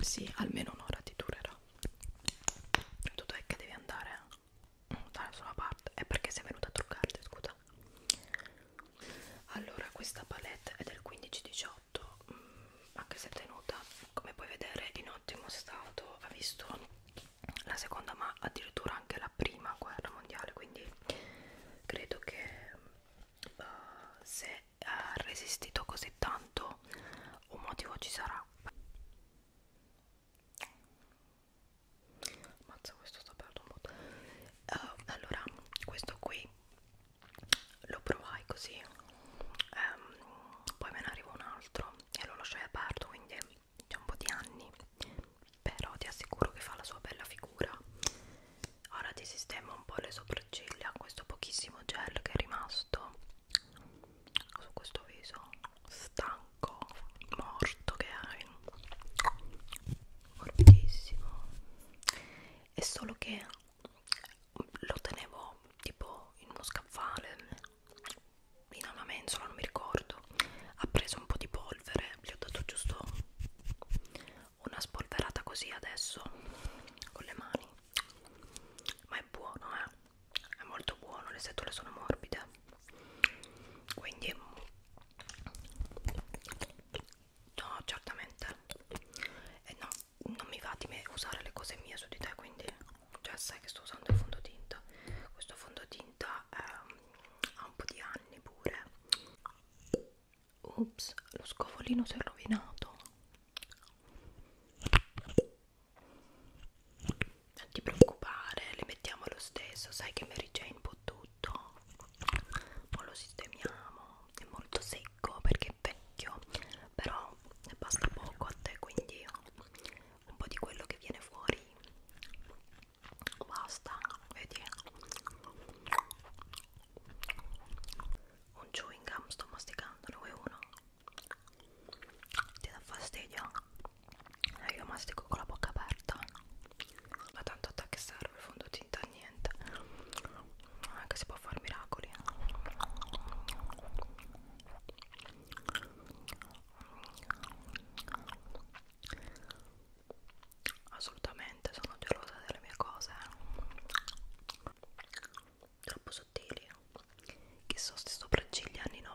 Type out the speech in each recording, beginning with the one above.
Sì, almeno un'ora ti durerà. Tu dai che devi andare mm, da sola parte. È perché sei venuta a truccarti, scusa. Allora, questa palette è del 15-18, mm, anche se è tenuta, come puoi vedere, in ottimo stato. Ha visto la seconda, ma addirittura anche la prima guerra mondiale. Quindi credo che uh, se ha resistito così tanto un motivo ci sarà ammazza questo sta perdendo molto uh, eh, allora questo qui lo provai così um, poi me ne arriva un altro e lo lasciai aperto quindi c'è un po' di anni però ti assicuro che fa la sua bella figura ora ti sistemo un po' le sopracciglia questo pochissimo gel che è rimasto su questo viso stanco morto che hai mortissimo è solo che lo tenevo tipo in uno scaffale in una mensola non mi ricordo ha preso un po' di polvere gli ho dato giusto una spolverata così adesso con le mani ma è buono eh è molto buono le setole sono morbide quindi no certamente e eh, no non mi va di me usare le cose mie su di te quindi già cioè, sai che sto usando il fondotinta questo fondotinta eh, ha un po' di anni pure Ops, lo scovolino si è rovinato. Non ti preoccupare, le mettiamo lo stesso. Sai che Mary Jane può tutto. Ma lo sistemiamo. È molto secco perché è vecchio, però ne basta poco a te, quindi un po' di quello che viene fuori. Basta, vedi un chewing gum sto masticando lui uno ti dà fastidio? Eh, io mastico con la bocca aperta ma tanto a te che serve il fondotinta a niente anche ah, si può fare miracoli assolutamente sono gelosa delle mie cose eh. troppo sottili che sono sti sopracciglia anni 90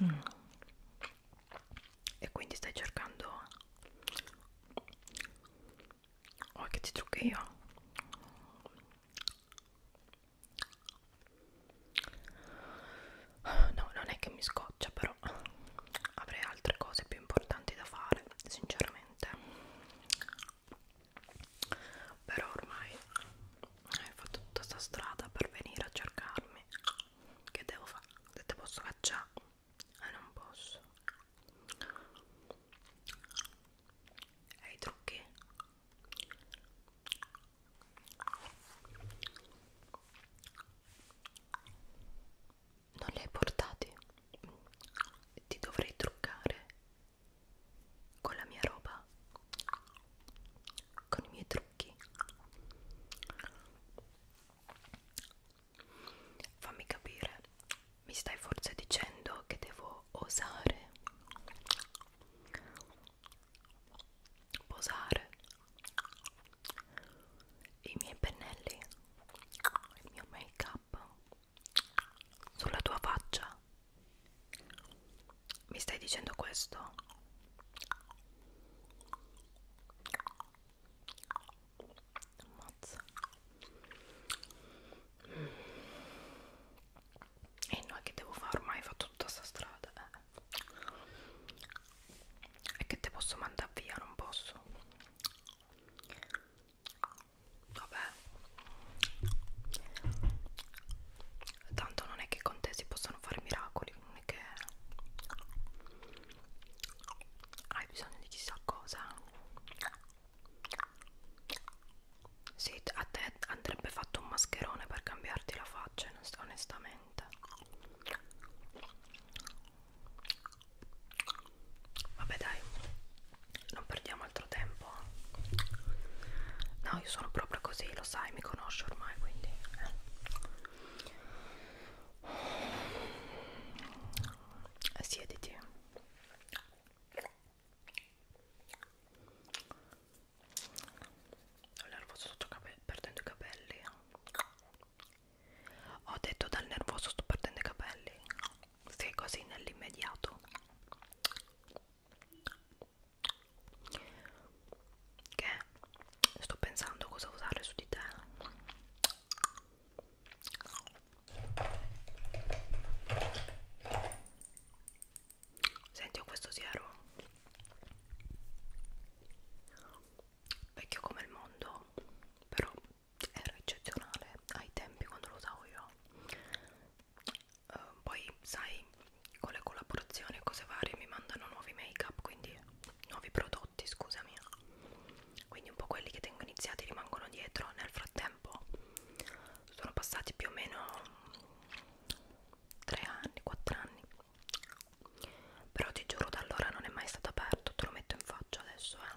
Mm. E quindi stai cercando qualche oh, trucchio? No, non è che mi scoccia, però avrei altre cose più importanti da fare, sinceramente però ormai hai fatto tutta sta strada per venire a cercarmi che devo fare? se te posso cacciare eh non posso e i trucchi? non li hai portati? ti dovrei truccare con la mia roba, con i miei trucchi. Fammi capire, mi stai forse dicendo che devo osare, posare i miei pennelli, il mio make up sulla tua faccia mi stai dicendo questo Ammazza. e no che devo fare ormai fatto tutta sta strada eh. e che te posso mandare via non posso vabbè tanto non è che con te si possono fare miracoli non è che hai bisogno di chissà cosa sì, a te andrebbe fatto un mascherone per cambiarti la faccia onestamente vabbè dai non perdiamo altro tempo no io sono proprio così lo sai mi conosci ormai quindi eh. siediti ho nervoso sto perdendo i capelli ho detto dal nervoso sto perdendo i capelli sì così nell'immediato che sto pensando cosa usare su di te senti ho questo siero vecchio come il mondo però era eccezionale ai tempi quando lo usavo io uh, poi sai con le collaborazioni e cose varie mi mandano nuovi make up quindi nuovi prodotti scusami quindi un po' quelli che tengo iniziati rimangono dietro nel frattempo sono passati più o meno 3 anni 4 anni però ti giuro da allora non è mai stato aperto te lo metto in faccia adesso eh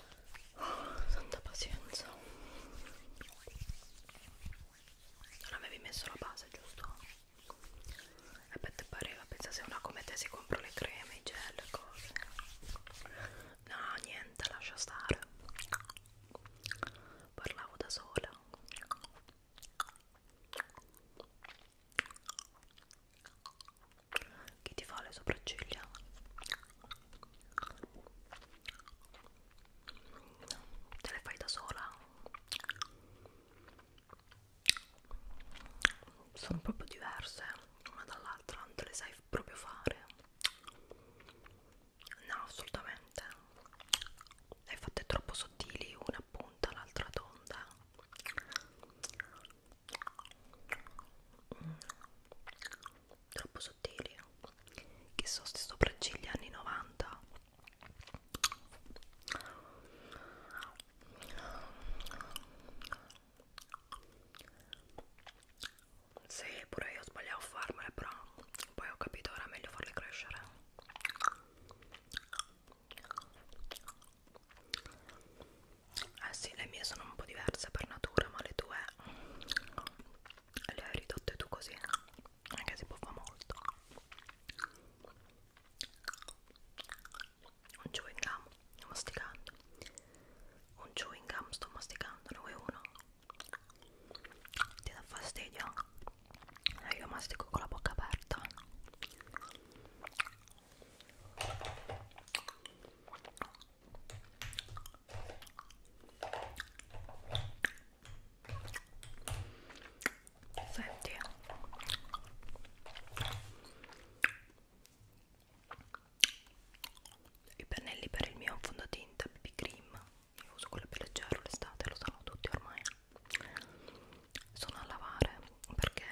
Oh, santa pazienza non avevi messo la base giusto? e beh te pareva pensassi una come te si compra le creme, i gel, le cose no niente lascia stare parlavo da sola chi ti fa le sopracciglia? te le fai da sola sono proprio diverse una dall'altra non te le sai proprio fare no assolutamente le hai fatte troppo sottili una punta l'altra tonda mm troppo sottili che so ste sopracciglia anni 90 sì pure io ho sbagliato a farmele però poi ho capito era meglio farle crescere eh sì, le mie sono un po' diverse per natura, ma le tue le hai ridotte tu così anche se buffa molto un chewing gum sto masticando un chewing gum sto masticando ne vuoi uno? ti dà fastidio? Eh, io mastico con la bocca aperta Senti i pennelli per il mio fondotinta BB Cream io uso quello più leggero l'estate, lo sanno tutti ormai sono a lavare perché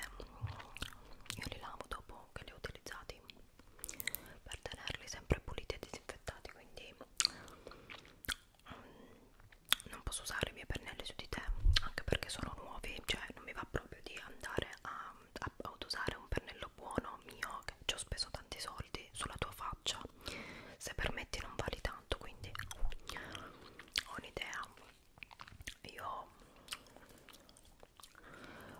io li lavo dopo che li ho utilizzati per tenerli sempre puliti e disinfettati quindi mm, non posso usare i miei pennelli su di te anche perché sono nuovi cioè non mi va proprio di andare a, a, ad usare un pennello buono mio che ci ho speso tanti soldi sulla tua faccia se permetti non vali tanto quindi ho un'idea io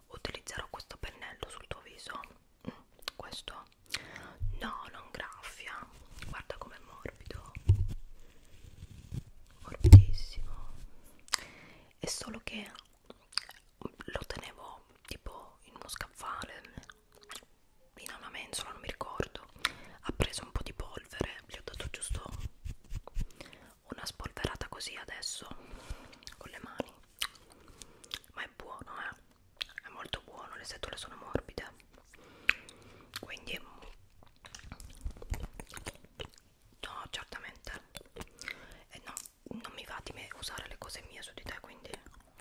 utilizzerò questo pennello sul tuo viso mm, questo no non graffia guarda com'è morbido morbidissimo è solo che lo tenevo tipo in uno scaffale in una mensola non mi ricordo ha preso un po' di polvere gli ho dato giusto una spolverata così adesso con le mani ma è buono eh è molto buono le setole sono morbide quindi no certamente e eh no non mi va di me usare le cose mie su di te quindi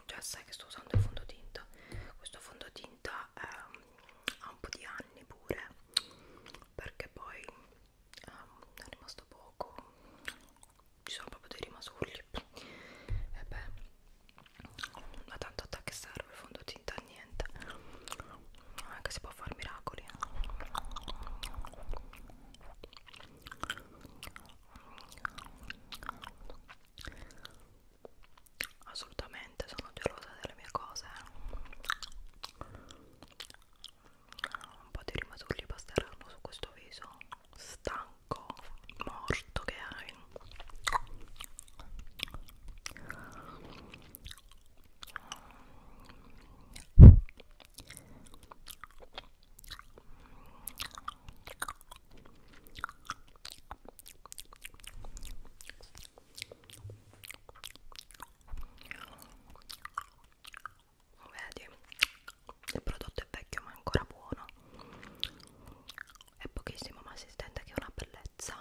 già sai che sto usando il fondotinta questo fondotinta eh, ha un po' di anni pure perché poi um, è rimasto poco ci sono proprio dei rimasugli e beh ma tanto a che serve fondotinta a niente anche si può fare miracoli assolutamente sono gelosa delle mie cose eh un po' di rimasugli basteranno su questo viso stanco, morto che hai vedi il prodotto è vecchio ma è ancora buono è pochissimo ma si stende che è una bellezza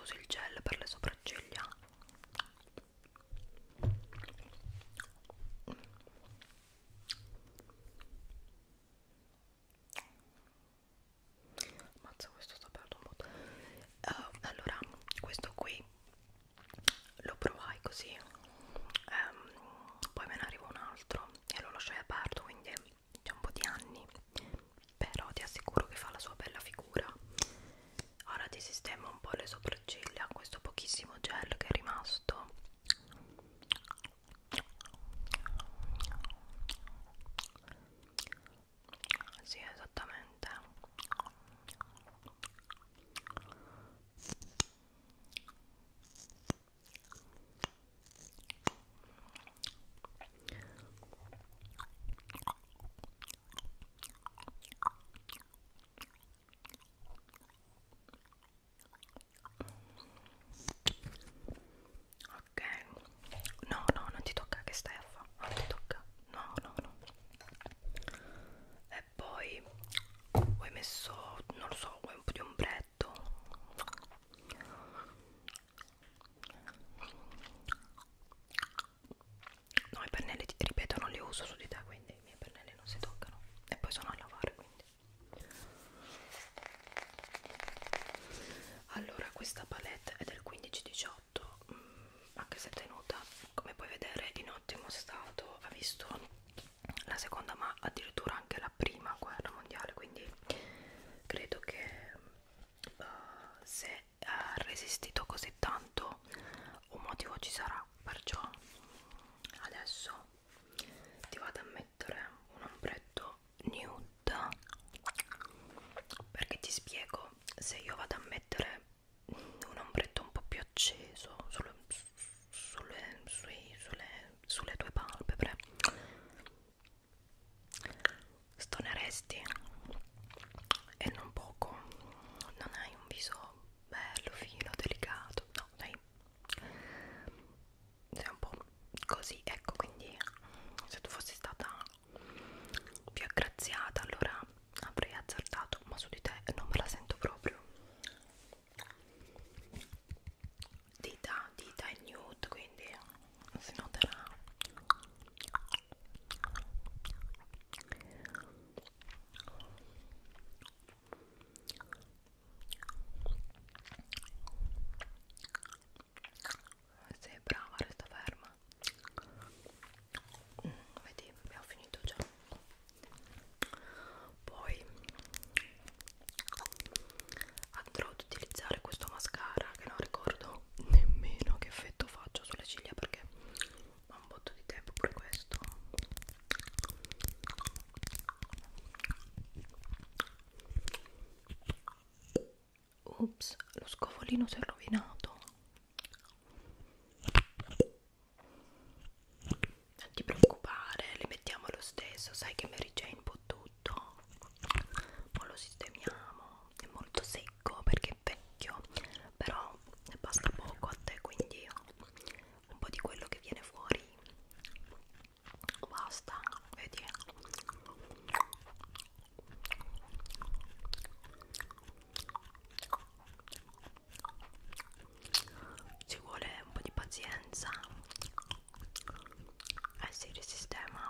uso il gel per le sopracciglia Mazza questo sta per uh, eh, Allora questo qui lo provai così um, Poi me ne arriva un altro e lo lasciai aperto quindi c'è un po' di anni però ti assicuro che fa la sua bella figura ora ti sistemo un po' le sopracciglia questo pochissimo gel che è rimasto sì esattamente Ok, no, no, non ti tocca che stai a fare, non ti tocca, no, no, no. E poi ho messo, non lo so, un po' di ombretto. No, i pennelli, ti ripeto, non li uso su di te, quindi i miei pennelli non si toccano. E poi sono a lavare, quindi. Allora, questa palette è del 15-18, mm, anche se tenuta, come puoi vedere, in ottimo stato. Ha visto la seconda, ma addirittura anche la prima guerra mondiale, quindi credo che... Uh, se ha resistito così tanto un motivo ci sarà perciò adesso ti vado a mettere un ombretto nude perché ti spiego se io vado a mettere un ombretto un po' più acceso sulle, sulle, sui, sulle, sulle tue palpebre stoneresti e non poco non hai un viso bello fino delicato no dai sei un po' così ecco quindi se tu fossi stata più aggraziata allora avrei azzardato ma su di te non me la sento proprio dita dita e nude quindi si noterà sei brava resta ferma mm, vedi abbiamo finito già poi andrò ad utilizzare questo mascara che non ricordo nemmeno che effetto faccio sulle ciglia perché ha un botto di tempo pure questo Ups, lo scovolino si è rovinato. Non ti preoccupare, le mettiamo lo stesso. Sai che Mary Jane può tutto tutto poi lo sistemiamo è molto secco perché è vecchio però ne basta poco a te quindi un po' di quello che viene fuori basta vedi ci vuole un po' di pazienza eh si risistema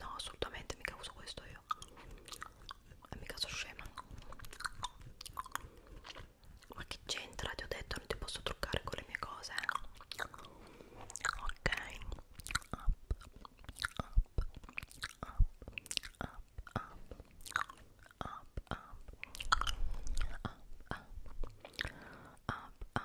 no assolutamente mica uso questo io e mica sono scema ma che c'entra ti ho detto non ti posso truccare con le mie cose ok up up up up up up up up up up up up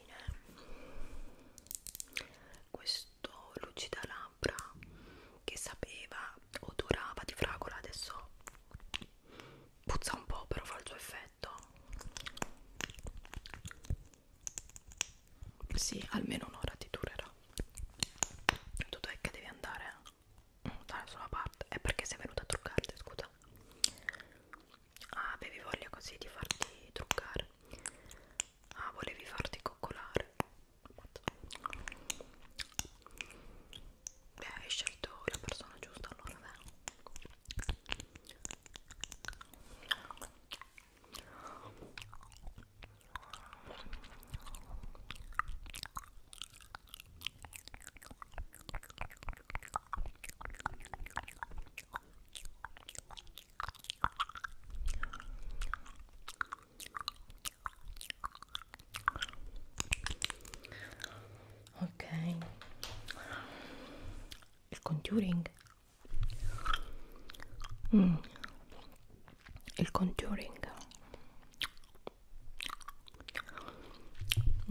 lucine questo lucida labbra che sapeva odorava di fragola adesso puzza un po' però fa il suo effetto sì almeno un'ora ti durerà tutto è che devi andare mm, dalla sola parte è perché sei venuta a truccarti scusa Ah, avevi voglia così di farti truccare? Ah, volevi farti coccolare? Beh, hai scelto la persona giusta allora, beh ok il contouring mm. il contouring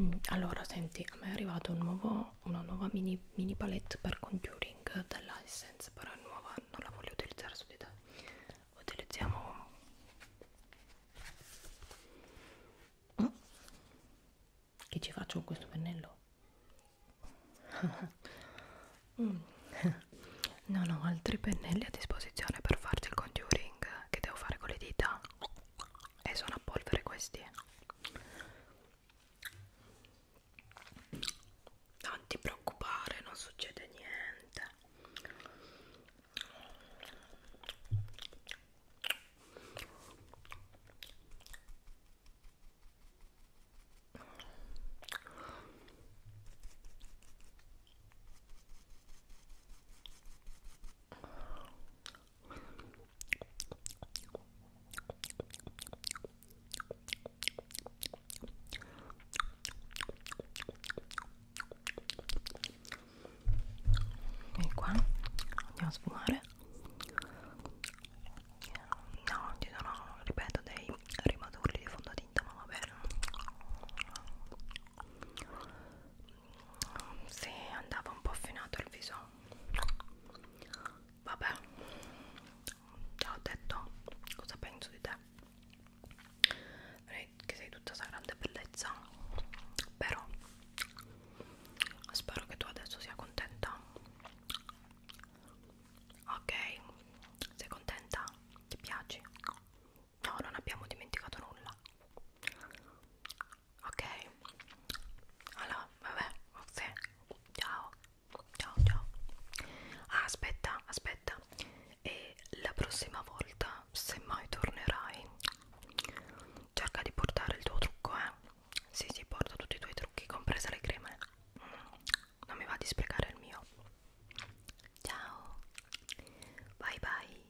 mm. allora senti a me è arrivato un nuovo ho una nuova mini, mini palette per contouring della Essence però è nuova, non la voglio utilizzare su di te utilizziamo mm? che ci faccio con questo pennello? mm. non ho altri pennelli a disposizione per farci il contouring che devo fare con le dita e sono a polvere questi non ti preoccupare non succede niente e qua andiamo a sfumare no ci sono ripeto dei rimaturli di fondotinta ma va bene sì, andava un po' affinato il viso vabbè te l'ho detto cosa penso di te che sei tutta questa grande bellezza però spero che tu adesso sia contenta ok sei contenta ti piaci no non abbiamo dimenticato nulla ok allora vabbè vabbè ciao ciao ciao ah, aspetta aspetta e la prossima volta se mai tornerai cerca di portare il tuo trucco eh sì sì porta tutti i tuoi trucchi compresa le creme mm, non mi va di sprecare il mio ciao bye bye